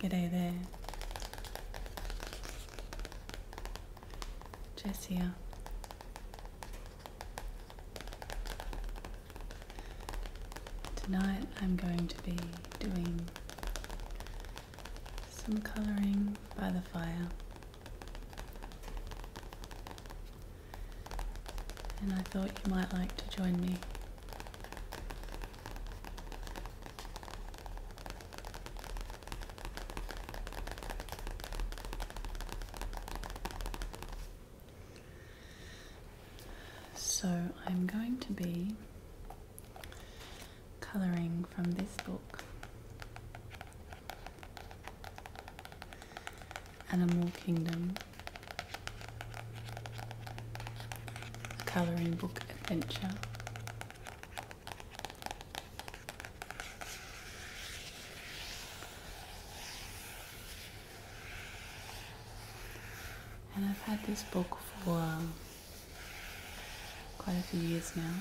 G'day there. Jessica. Tonight I'm going to be doing some colouring by the fire and I thought you might like to join me. So I'm going to be colouring from this book. Animal Kingdom, colouring book adventure. And I've had this book for um, quite a few years now.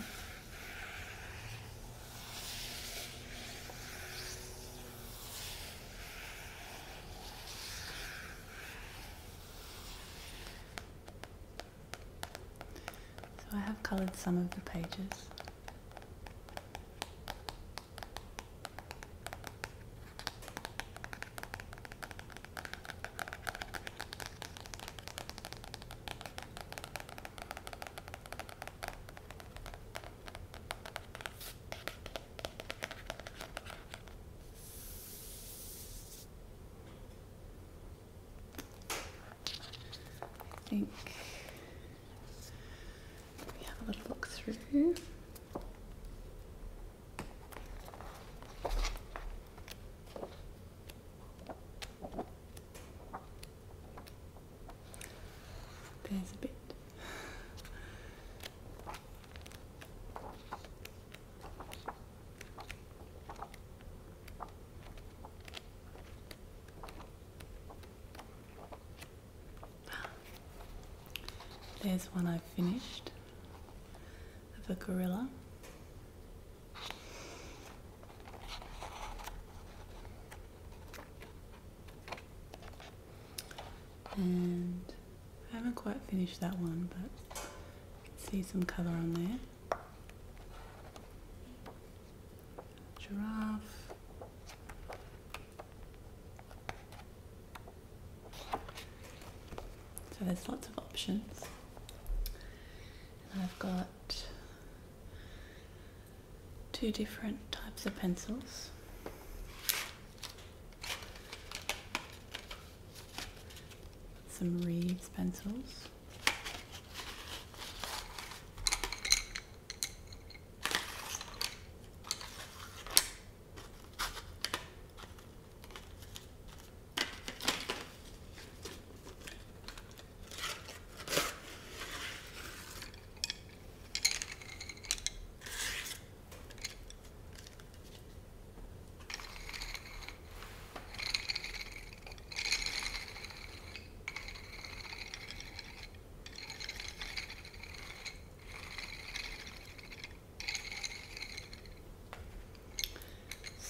So I have coloured some of the pages. I think we have a little look through. There's a bit. There's one I've finished of a gorilla. And I haven't quite finished that one, but you can see some colour on there. Giraffe. So there's lots of options. And I've got two different types of pencils. Some Reeves pencils.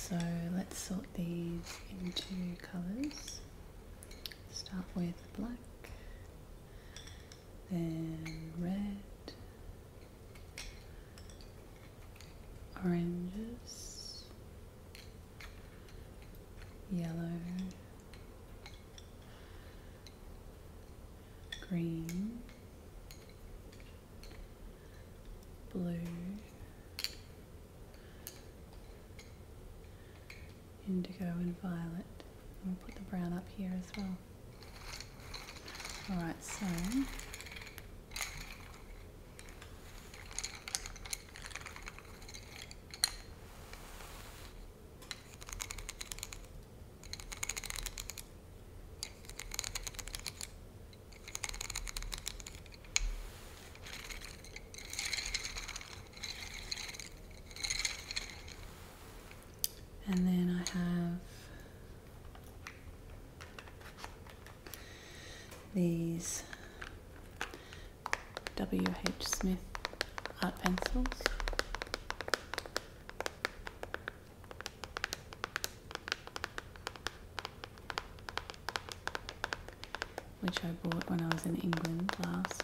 So let's sort these into colours. Start with black then red, oranges, yellow, green, blue, indigo and violet. We'll put the brown up here as well. Alright, so and then I have these W.H. Smith art pencils. which I bought when I was in England last.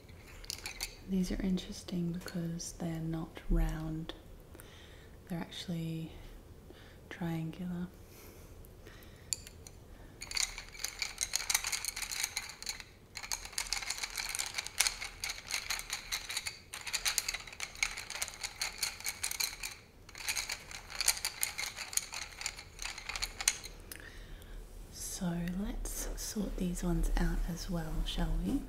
These are interesting because they're not round, they're actually triangular. So let's sort these ones out as well, shall we?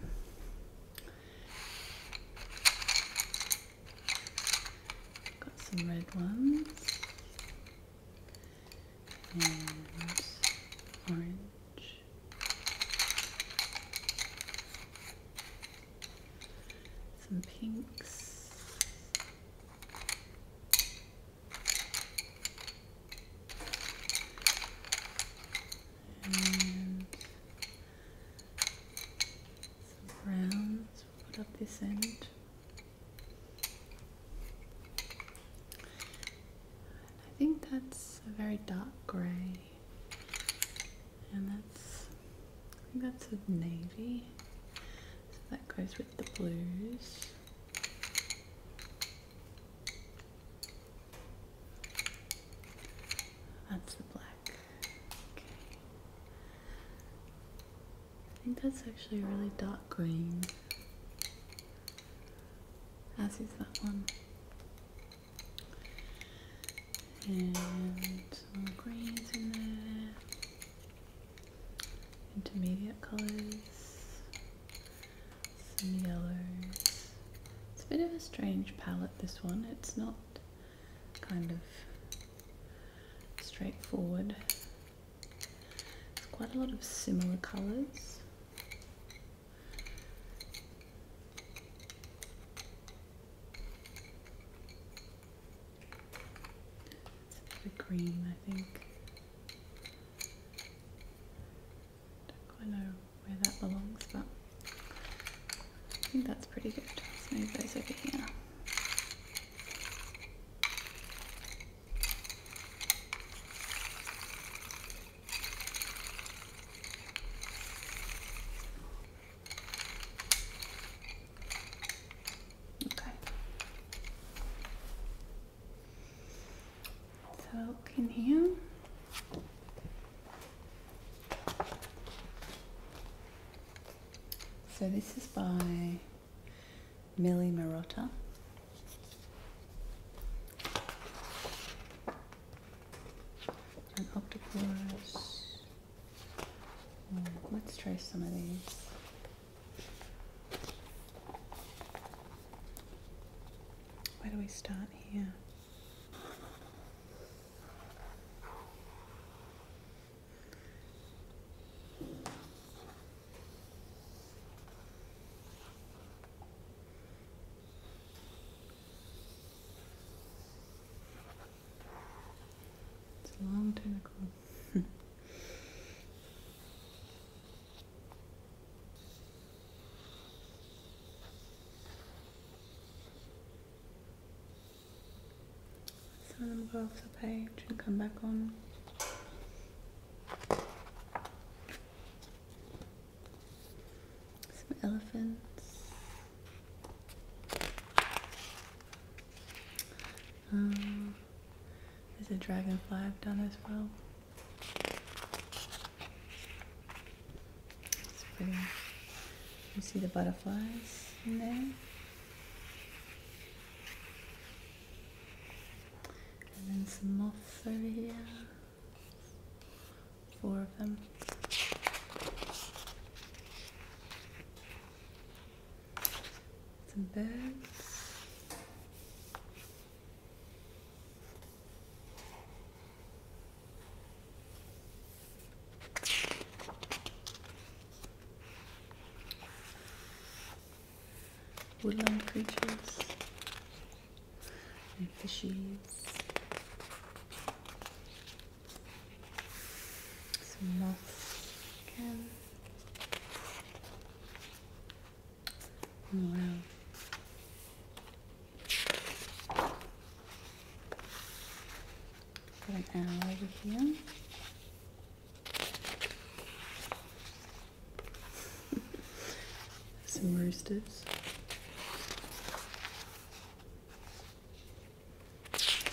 Got some red ones and orange. Some pinks. And some browns put up this end. I think that's a very dark grey. And that's I think that's a navy. So that goes with the blues. That's the black. Okay. I think that's actually a really dark green. As is that one. And some greens in there. Intermediate colors some yellows. It's a bit of a strange palette this one. It's not kind of straightforward. It's quite a lot of similar colours. a bit green I think. Don't quite know where that belongs, but I think that's pretty good. move those over here. Okay. So, us have a look in here. So this is by Millie Marotta. An octopus. Hmm, let's try some of these. Where do we start here? It's a long tentacle. So I'm go off the page and come back on. Some elephants. Um, there's a dragonfly done as well. It's pretty. You see the butterflies in there? And then some moths over here. Four of them. Some birds woodland creatures and fishies moths again Wow. Got an owl over here. Some roosters.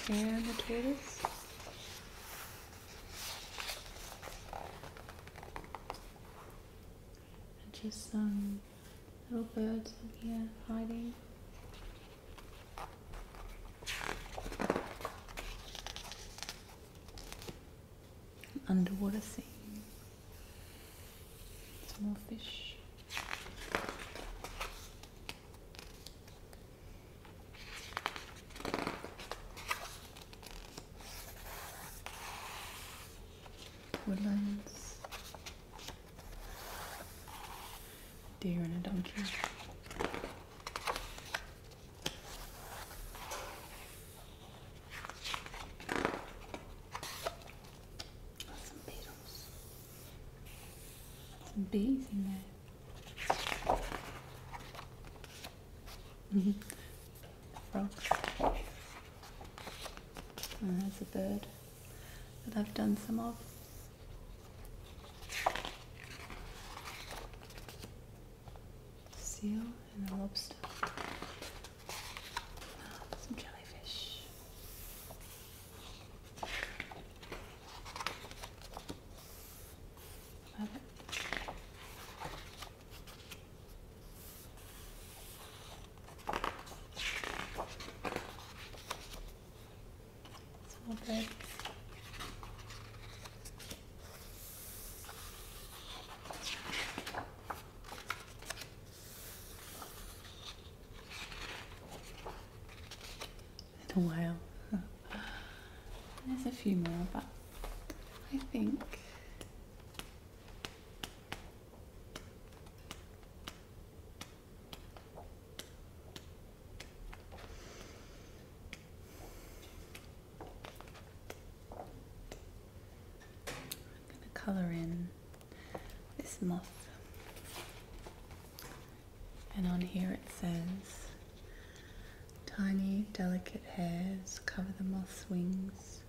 And the tortoise and just some little birds up here hiding. underwater scene. Some more fish woodlands, deer and a donkey. Some beetles, some bees in there. frog. there's a bird that I've done some of. Seal and a lobster. Ah, some jellyfish. A all a while. There's a few more, but I think I'm going to colour in this moth. And on here it says, Tiny, delicate hairs cover the moth's wings,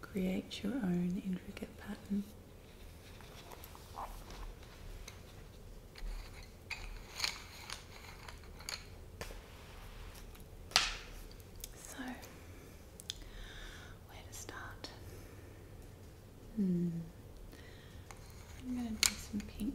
Create your own intricate pattern. So, where to start? Hmm. I'm going to do some pink,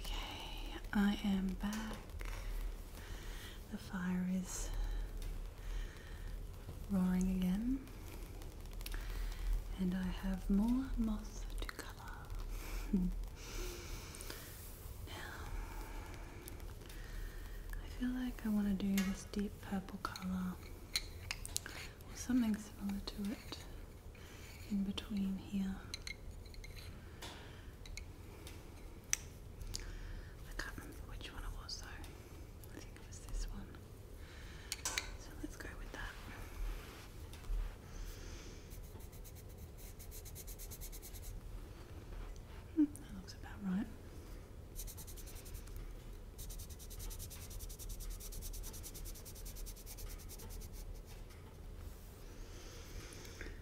Okay, I am back. The fire is roaring again, and I have more moth to cover. now, I feel like I want to do this deep purple color or something similar to it in between here. I can't remember which one it was though. I think it was this one. So let's go with that. Hmm, that looks about right.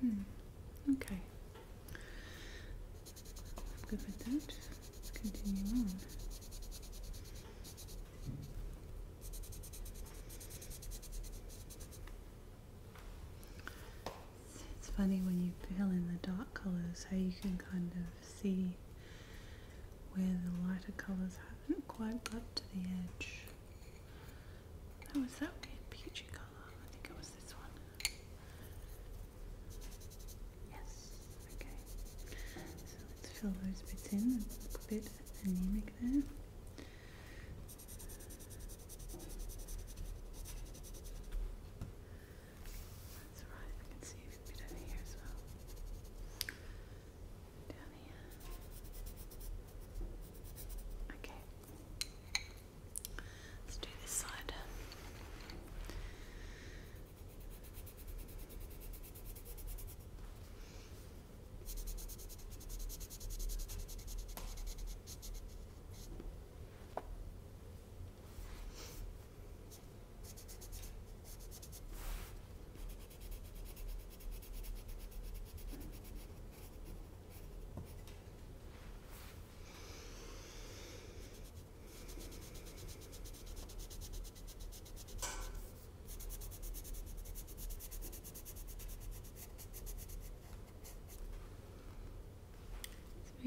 Hmm, okay. good with that. Let's continue on. It's funny when you feel in the dark colors how you can kind of see where the lighter colors haven't quite got to the edge. That was that a peachy color? I think it was this one. Yes. Okay. So let's fill those bits in. a bit anemic there. That's right. I can see a bit over here as well. Down here. Okay. Let's do this side.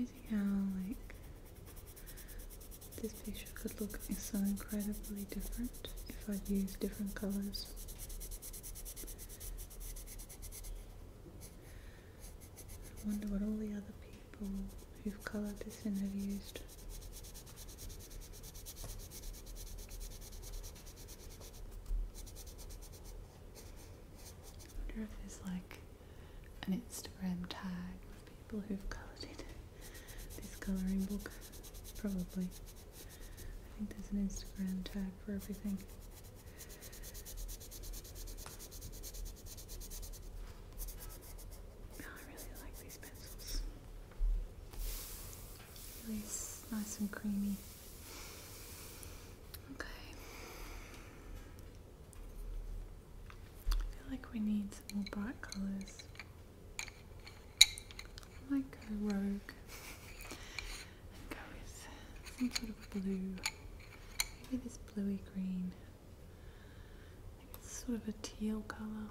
It's amazing how like this picture could look so incredibly different if I'd used different colors. I wonder what all the other people who've coloured this in have used. I wonder if there's like an Instagram tag of people who've coloured it. This colouring book, probably. I think there's an Instagram tag for everything. Oh, I really like these pencils. Really nice and creamy. Okay. I feel like we need some more bright colours. I go rogue and go with some sort of blue. Maybe this bluey green. I think it's sort of a teal colour.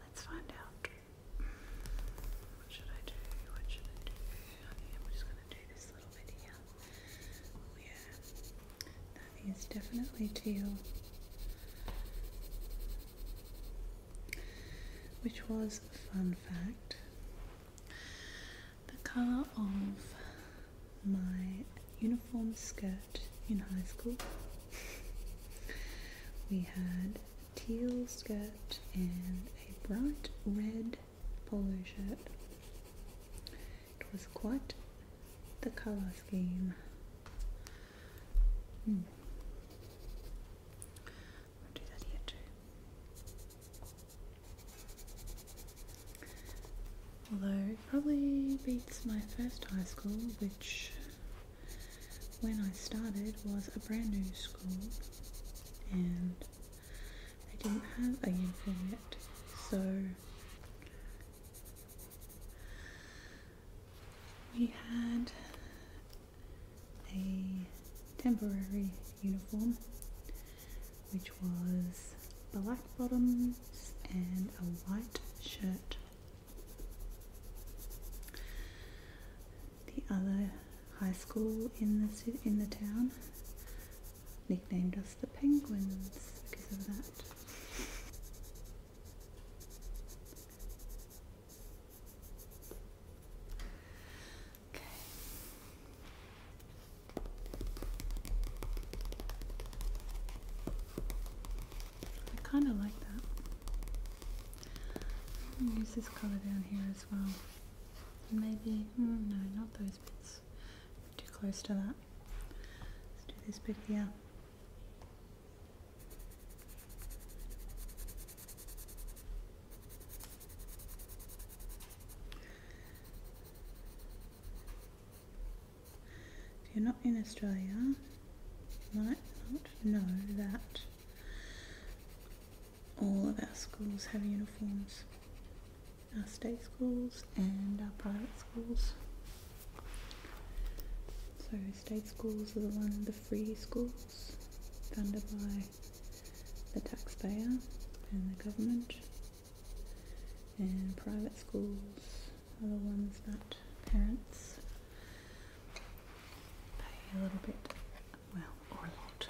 Let's find out. What should I do? What should I do? I am just going to do this little bit Oh yeah. That is definitely teal which was fun fact the color of my uniform skirt in high school. we had teal skirt and a bright red polo shirt. It was quite the color scheme. Hmm. Although it probably beats my first high school, which when I started was a brand new school and they didn't have a uniform yet. So we had a temporary uniform which was black bottoms and a white shirt. The other high school in the in the town nicknamed us the Penguins because of that. Okay. I kind of like that. I'm going to use this colour down here as well. Maybe, mm, no, not those bits. Too close to that. Let's do this bit here. If you're not in Australia, you might not know that all of our schools have uniforms. Our state schools and our private schools. So state schools are the one, the free schools, funded by the taxpayer and the government, and private schools are the ones that parents pay a little bit, well, or a lot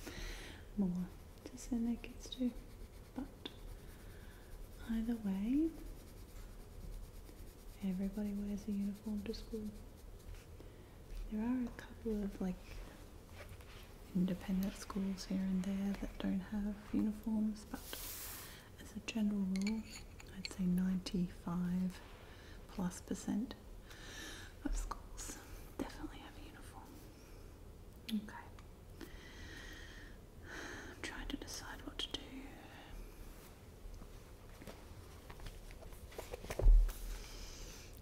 more to send their kids to. But either way, everybody wears a uniform to school. There are a couple of like independent schools here and there that don't have uniforms, but as a general rule, I'd say 95 plus percent of schools definitely have a uniform. Okay. I'm trying to decide what to do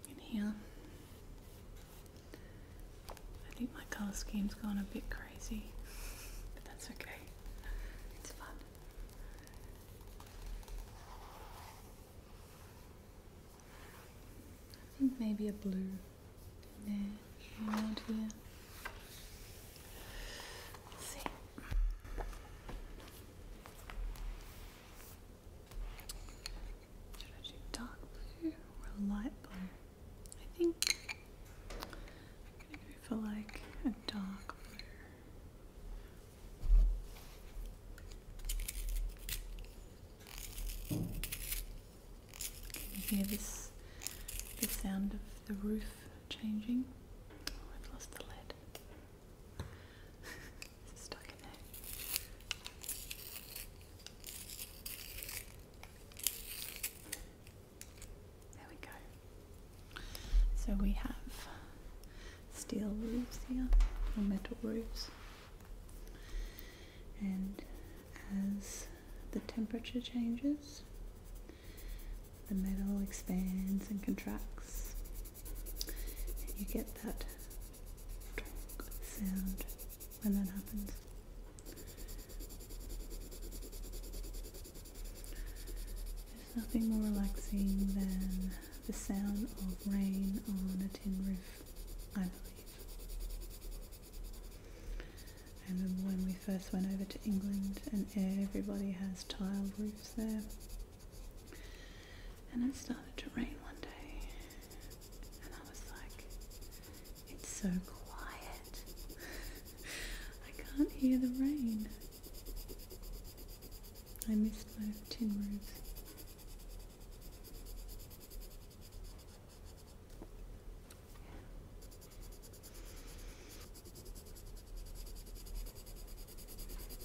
in here. I think my colour scheme's gone a bit crazy, but that's okay. It's fun. I think maybe a blue there around here. see. Should I do dark blue or light blue? I think I'm gonna go for like a dark blue. Can you hear this the sound of the roof changing? Oh, I've lost the lid. There we go. So we have steel roofs here, or metal roofs. And as the temperature changes, the metal expands and contracts and you get that sound when that happens. There's nothing more relaxing than the sound of rain on a tin roof, I believe. I remember when we first went over to England and everybody has tiled roofs there. And it started to rain one day, and I was like, it's so quiet. I can't hear the rain. I missed my tin roofs.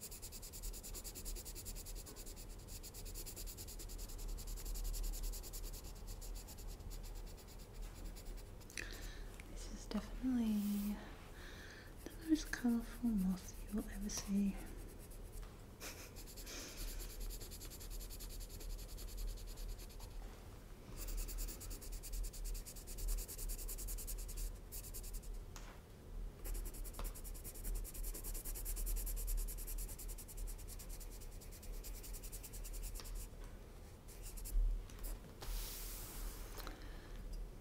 This is definitely the most colourful moth you'll ever see.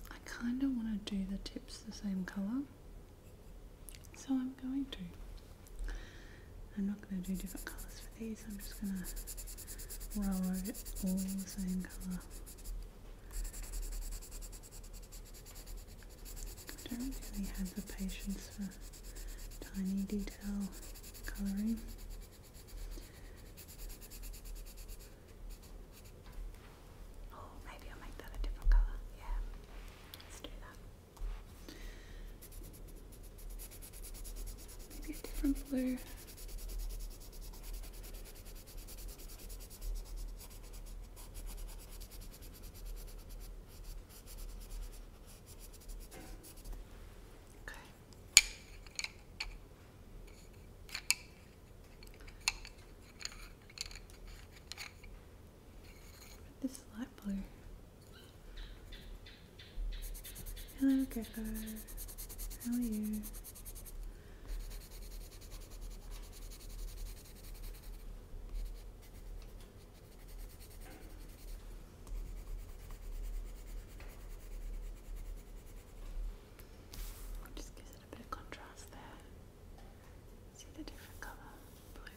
I kind of want to do the tips the same colour, so I'm going to. I'm not going to do different colours for these, I'm just going to roll it all the same colour. I don't really have the patience for tiny detail colouring. Oh, maybe I'll make that a different colour. Yeah, let's do that. Maybe a different blue. Okay. This light blue. Hello, Gripper. How are you? Just gives it a bit of contrast there. See the different color, blue. Okay.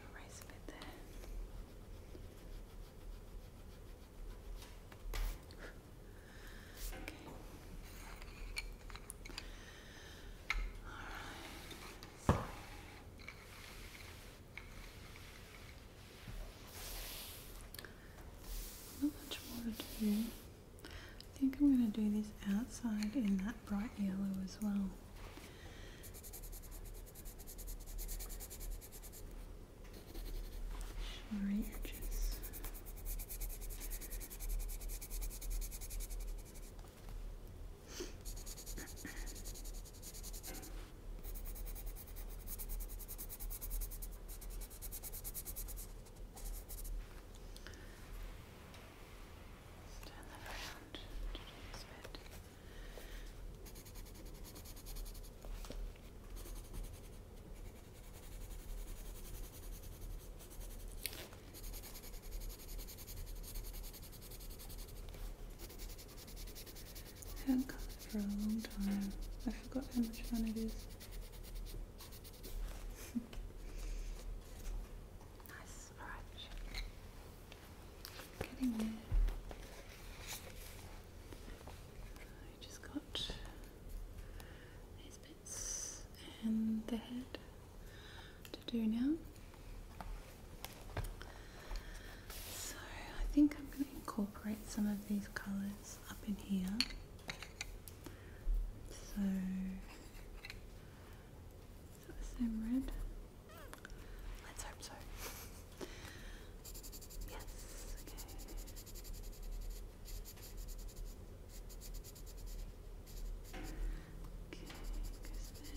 Erase a bit there. Okay. All right. So. Not much more to do. I think I'm going to do this outside in that bright yellow as well. Shimmery edges. Turn that around to this bit. Okay. I haven't come for a long time. I forgot how much fun it is. nice, alright. Getting there. I just got these bits and the head to do now. So I think I'm going to incorporate some of these colours up in here. So is that the same red? Let's hope so. Yes,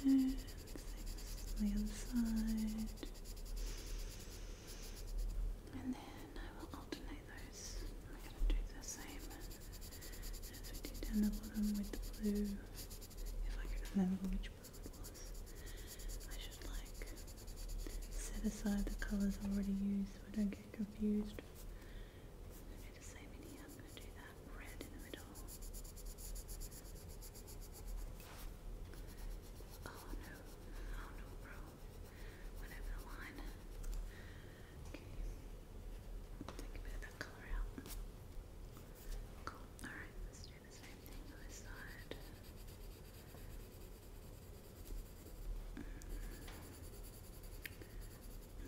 okay. Okay, the other side. And then I will alternate those. I'm going to do the same as we did down the bottom with the blue. If I could remember which blue it was, I should like set aside the colours already used so I don't get confused. same in here. I'm going to do that red in the middle. Oh no, oh no, bro. Whatever the line. Okay. Take a bit of that color out. Cool. Alright, let's do the same thing on this side.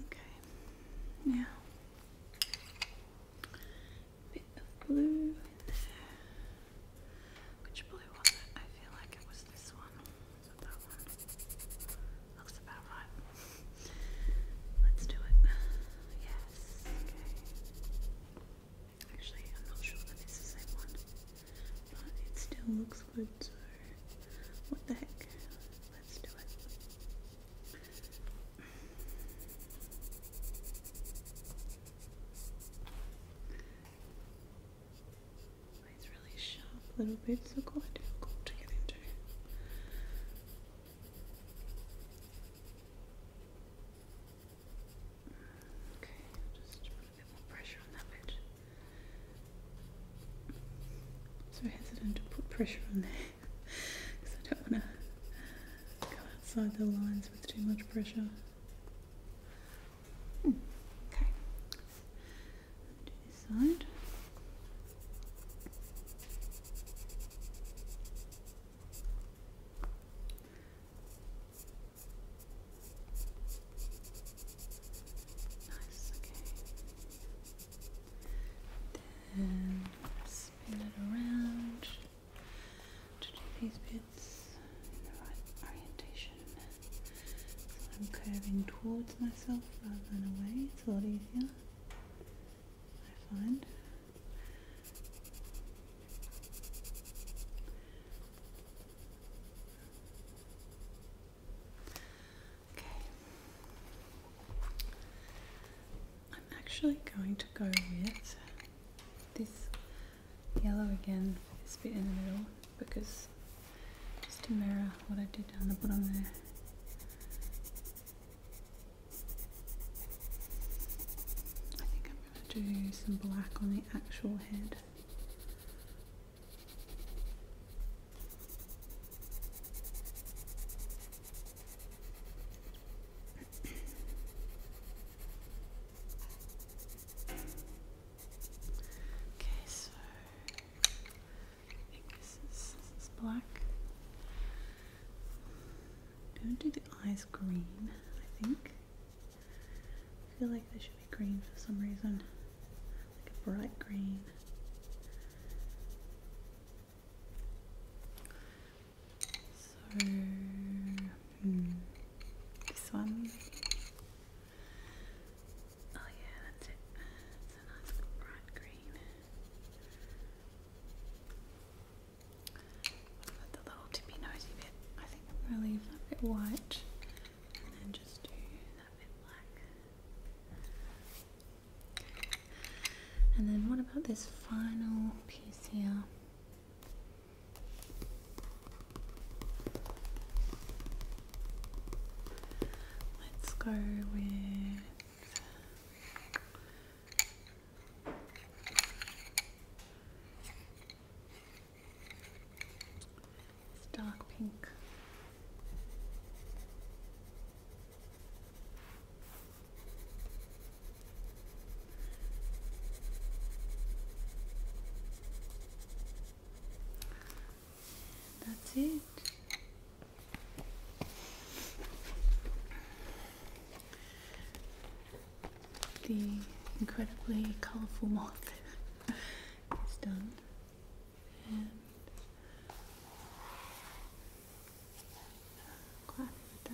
Okay. Now, blue Which blue was I feel like it was this one. that one? Looks about right. Let's do it. Yes. Okay. Actually, I'm not sure that it's the same one, but it still looks good. So, what the heck? Let's do it. It's really sharp little bits are quite difficult to get into. Okay, just a bit more pressure on that bit. so hesitant to put pressure on there because I don't want to go outside the lines with too much pressure. Okay. Do this side. Nice, okay. Then spin it around to do these bits in the right orientation. So I'm curving towards myself rather than away, it's a lot easier, I find. Okay. I'm actually going to go with this yellow again this bit in the middle because just to mirror what I did down the bottom there. I think I'm going to do some black on the actual head. Okay, so I think this is, black. I'm going to do the eyes green, I think. I feel like they should be green for some reason, like a bright green. So, hmm. this one. Oh yeah, that's it. It's a nice bright green. But the little tippy nosy bit, I think I'm going to leave that bit white and then just do that bit black. And then what about this final piece here? Let's go with. dark pink. That's it. The incredibly colorful moth is done. And with that.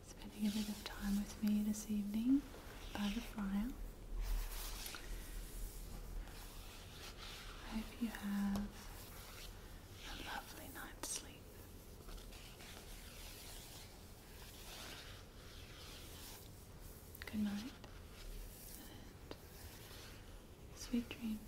spending a bit of time with me this evening by the fire. I hope you have a lovely night's sleep. Good night and sweet dreams.